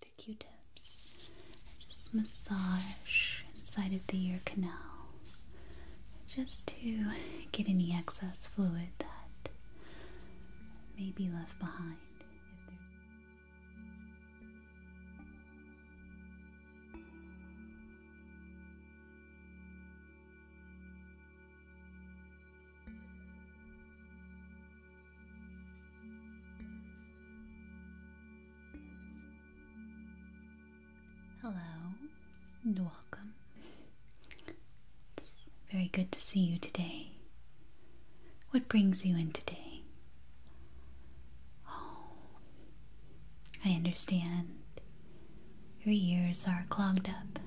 with the q-tips and just massage inside of the ear canal just to get any excess fluid that may be left behind Hello and welcome. very good to see you today. What brings you in today? Oh, I understand. Your ears are clogged up.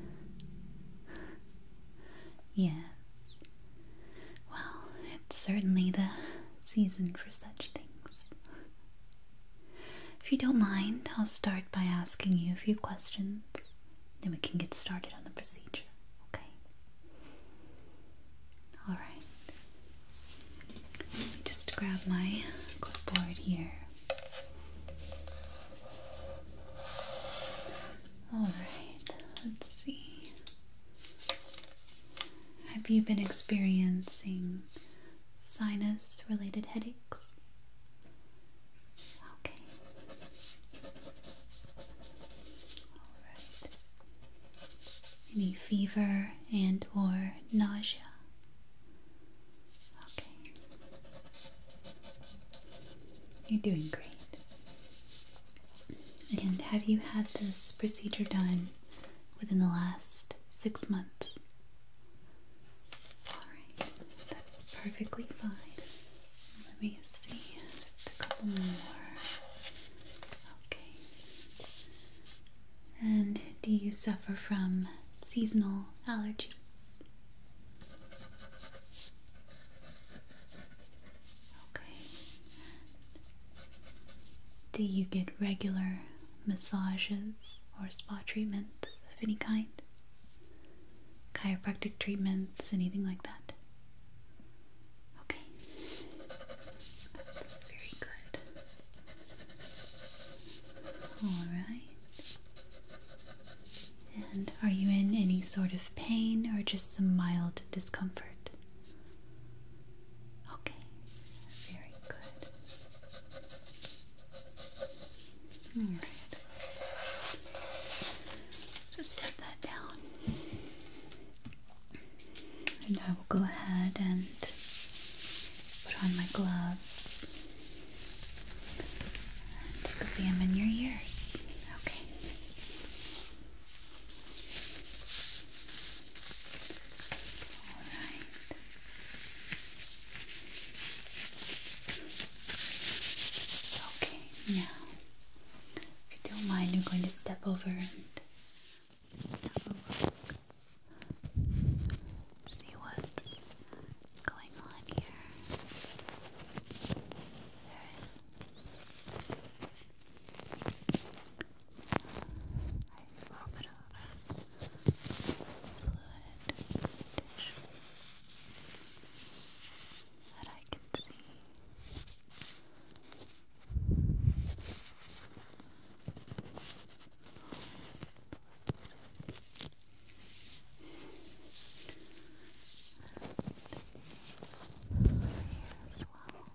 Yes. Well, it's certainly the season for such things. If you don't mind, I'll start by asking you a few questions, then we can get started on the procedure, okay? Alright. Let me just grab my clipboard here. Alright, let's see. Have you been experiencing sinus related headaches? Okay. Alright. Any fever and or nausea? Okay. You're doing great. And have you had this procedure done within the last six months? Alright, that's perfectly fine. Let me see, just a couple more. Okay. And do you suffer from seasonal allergies? Okay. Do you get regular massages or spa treatments of any kind? Chiropractic treatments, anything like that? Okay. That's very good. Alright. And are you in any sort of pain or just some mild discomfort? Okay, very good. Alright. Just set that down. And I will go ahead and put on my gloves and examine your ears. Okay. Okay, now, if you don't mind, I'm going to step over and See what's going on here a little bit of fluid tissue that I can see. And here as well.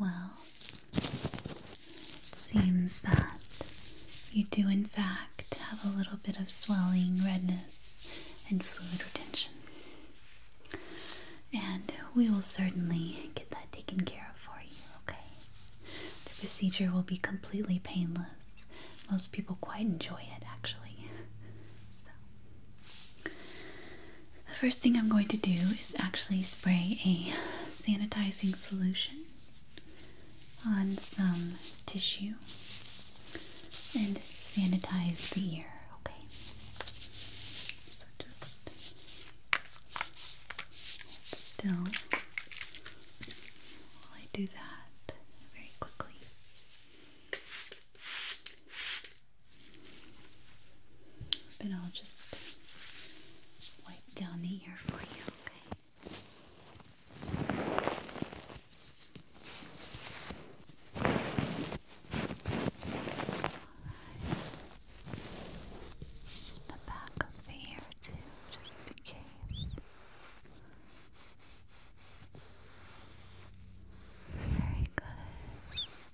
Well, it seems that you do, in fact, have a little bit of swelling, redness, and fluid retention. And we will certainly get that taken care of for you, okay? The procedure will be completely painless. Most people quite enjoy it, actually. The first thing I'm going to do is actually spray a sanitizing solution on some tissue and sanitize the ear, okay? So just still while I do that very quickly. Then I'll just wipe down the ear for you, okay? The back of the ear too, just in case. Very good.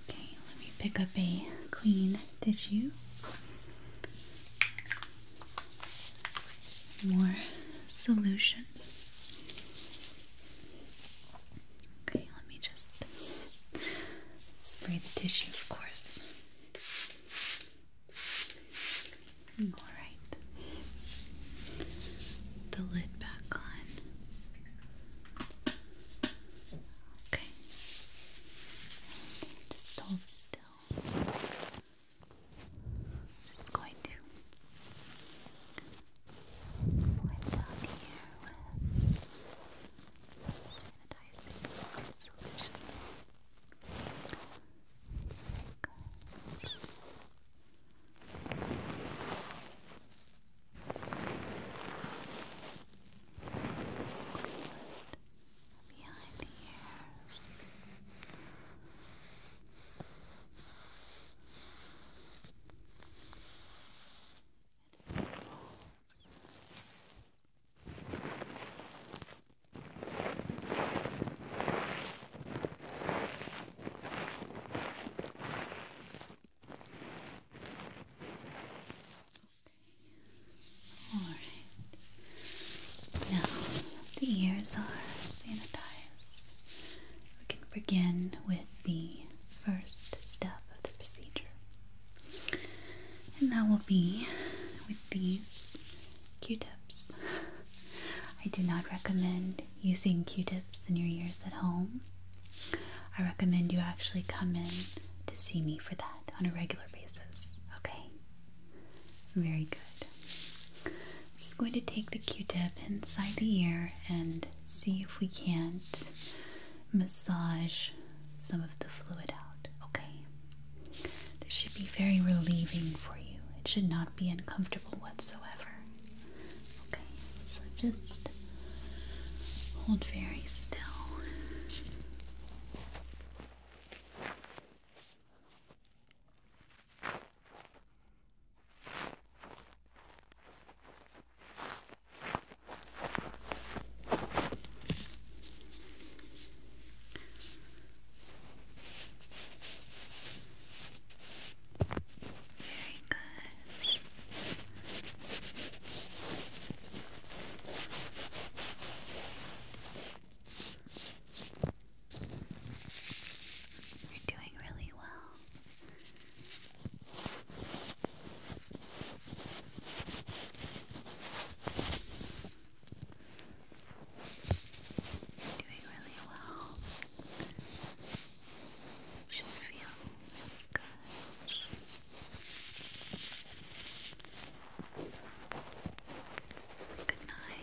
Okay, let me pick up a clean tissue. More solutions. Okay, let me just Spray the tissue, of course. Alright. The lid back on. Okay. just hold still. just going to sanitizing solution. Gosh. Behind the ears. And it rolls. All right. Now the ears are sanitized. We can begin with the first step of the procedure. And that will be with these q-tips. I do not recommend using q-tips in your ears at home. I recommend you actually come in to see me for that on a regular basis, okay? Very good. I'm just going to take the q-tip inside the ear and see if we can't massage some of the fluid out, okay? This should be very relieving for you. It should not be uncomfortable whatsoever. Okay, so just hold very still. Very good. You're doing really well. Doing really well. Should feel really good. Good night.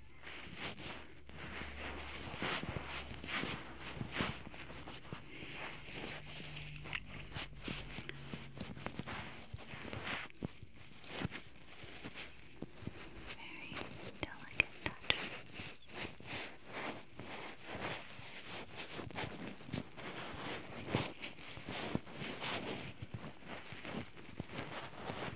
Very delicate touches. Very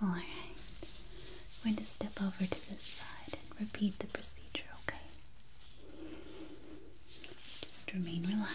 Alright, we're going to step over to this side and repeat the procedure, okay? Just remain relaxed.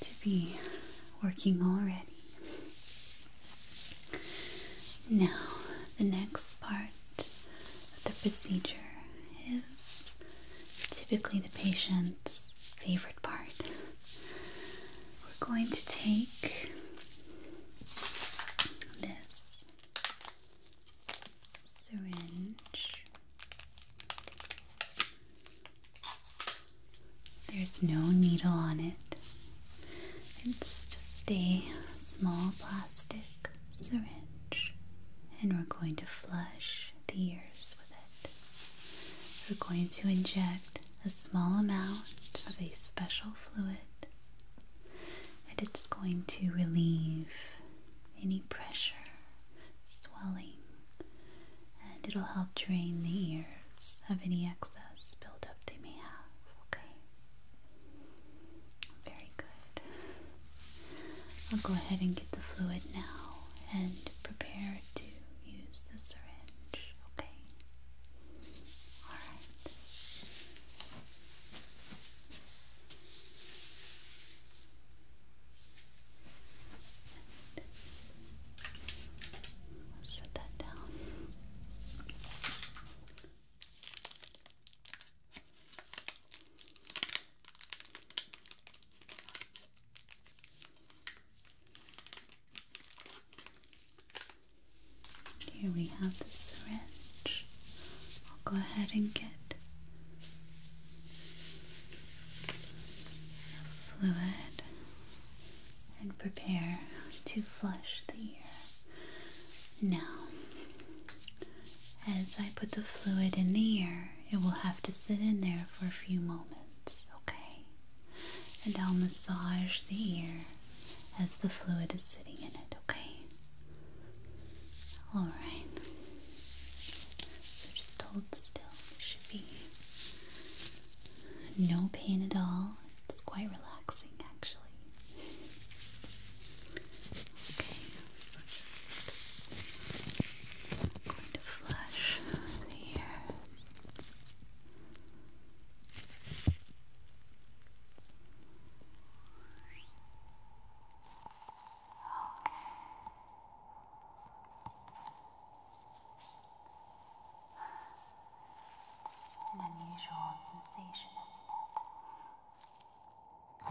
to be working already. Now, the next part of the procedure is typically the patient's favorite part. We're going to take this syringe. There's no needle on it. It's just a small plastic syringe, and we're going to flush the ears we're going to inject a small amount of a special fluid, and it's going to relieve any pressure, swelling, and it'll help drain the ears of any excess buildup they may have. Okay? Very good. I'll go ahead and get the fluid now and prepare to use the syringe, okay? Alright. set that down. Here we have the syringe. I'll go ahead and get fluid and prepare to flush the ear. Now, as I put the fluid in the ear, it will have to sit in there for a few moments, okay? And I'll massage the ear as the fluid is sitting in it, okay? Alright. So just hold still. It should be no pain at all. It's quite relaxing actually. Okay. I'm going to flush the ears. Okay. An unusual sensation, isn't it?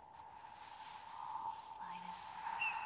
slightest pressure.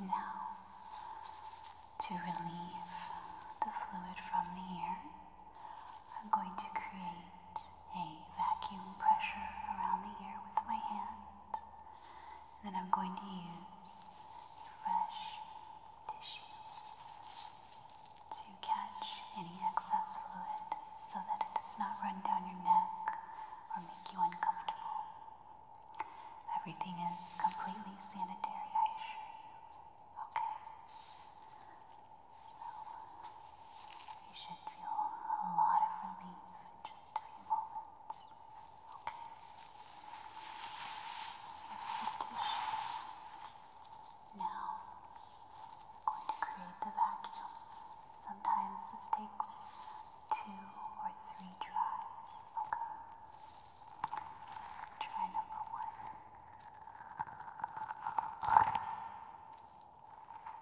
Okay. Now, to relieve the fluid from the air, I'm going to create a vacuum pressure around the air with my hand. Then I'm going to use fresh tissue to catch any excess fluid so that it does not run down your neck or make you uncomfortable. Everything is completely sanitary, I assure you. Okay? So, you should feel a lot of relief in just a few moments tissue. Now, going to create the vacuum. Sometimes this takes two or three tries. Okay. Try number one.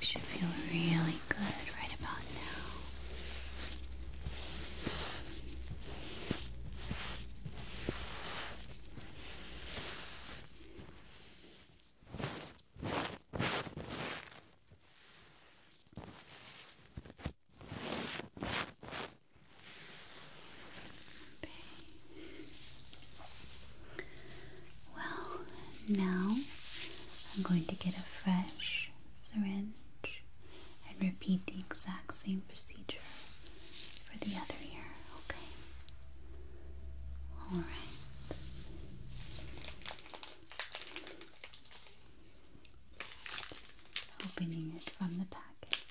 You should feel really good right about now. Well, now I'm going to get a fresh syringe and repeat the exact same procedure for the other ear, okay? All right opening it from the package.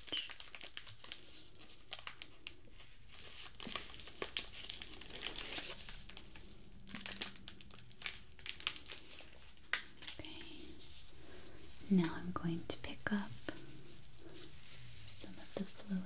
Okay. Now I'm going to pick up some of the fluid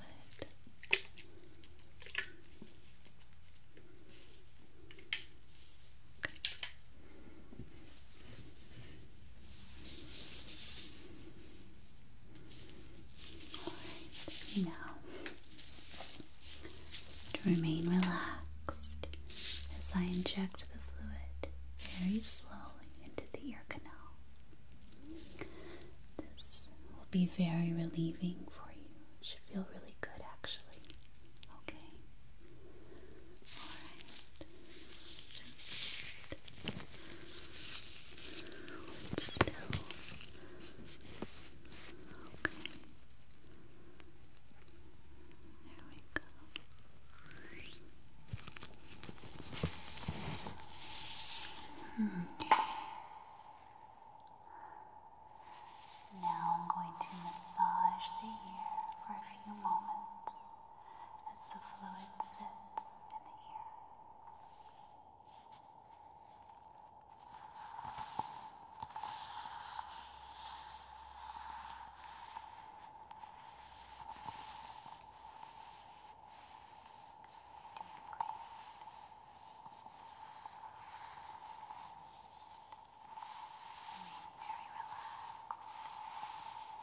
now just remain relaxed as I inject the fluid very slowly into the ear canal. This will be very relieving for you. It should feel really good actually. Okay. Hold still. Okay. There we go. Hmm. Okay. Now I'm going to massage the ear for a few moments as the fluid sits in the ear. Doing great. Being very relaxed. Very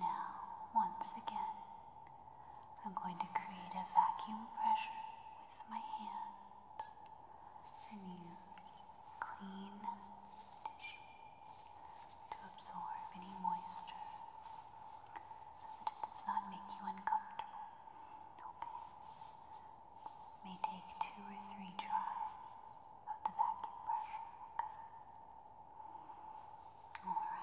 Now, once again, I'm going to create a vacuum pressure with my hand and use clean tissue to absorb any moisture so that it does not make you uncomfortable. Okay. This may take two or three tries of the vacuum brush. Okay. Alright. Good.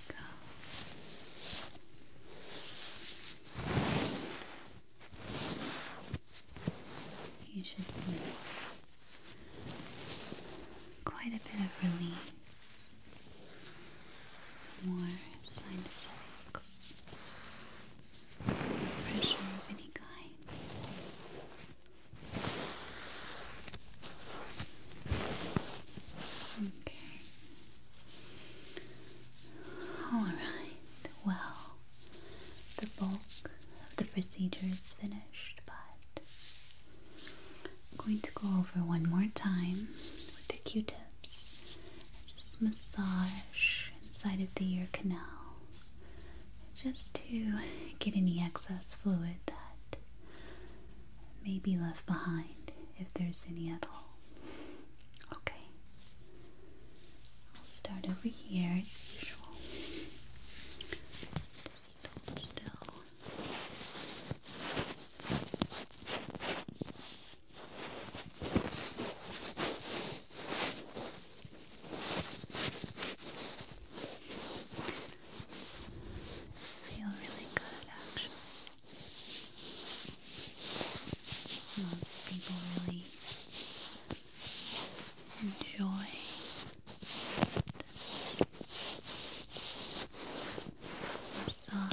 we You should feel quite a bit of relief. More sinusitis, pressure of any kind. Okay. Alright, well, the bulk of the procedure is finished, but I'm going to go over one more time with the q tips just massage inside of the ear canal just to get any excess fluid that may be left behind if there's any at all. Okay, I'll start over here as usual. Just still. feel really good actually. Most people really enjoy this massage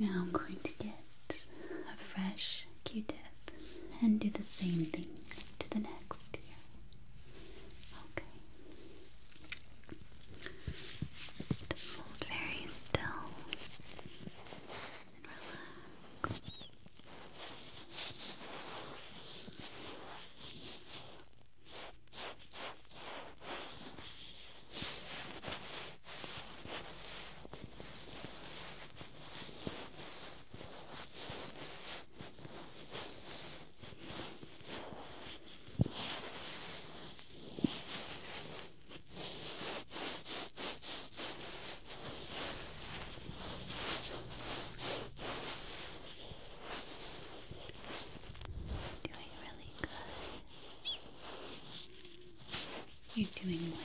Now I'm going to get a fresh Q-tip and do the same thing to the next Okay. Just hold very still and relax. Doing really good. You're doing wonderful.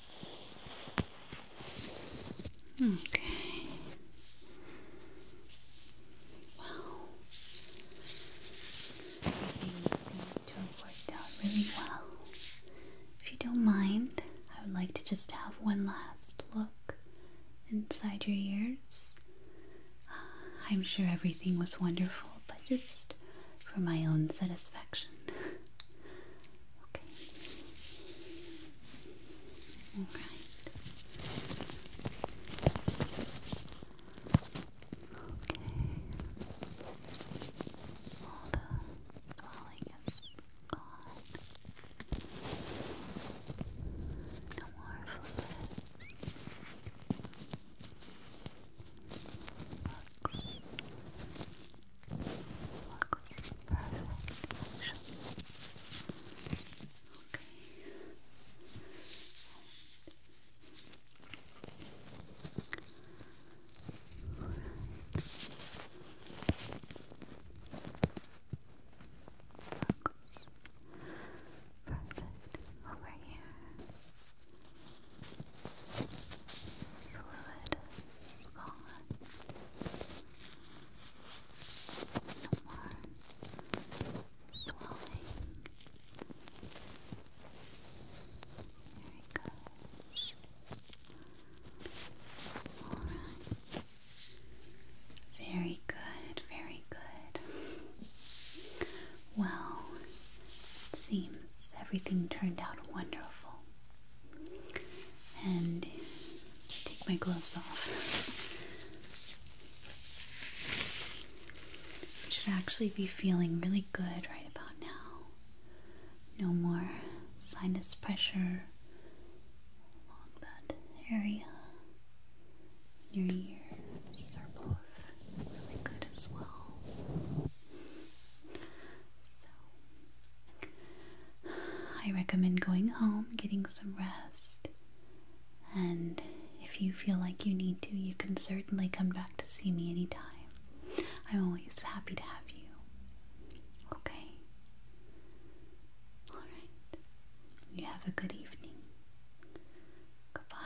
Okay. Wow. Everything seems to have worked out really well. If you don't mind, I would like to just have one last look inside your ears. I'm sure everything was wonderful, but just for my own satisfaction. Okay. All right. Okay. All the swelling is gone. No more fluid. Focus. Perfect. Action. Okay. Right. Focus. Perfect. Over here. Fluid is gone more swallowing. There it goes. Alright. Very good, very good. Well, it seems everything turned out wonderful and take my gloves off. should actually be feeling really good right about now. No more sinus pressure along that area. Your ears are both really good as well. I recommend going home, getting some rest, and if you feel like you need to, you can certainly come back to see me anytime. I'm always happy to have you. Okay? Alright. You have a good evening. Goodbye.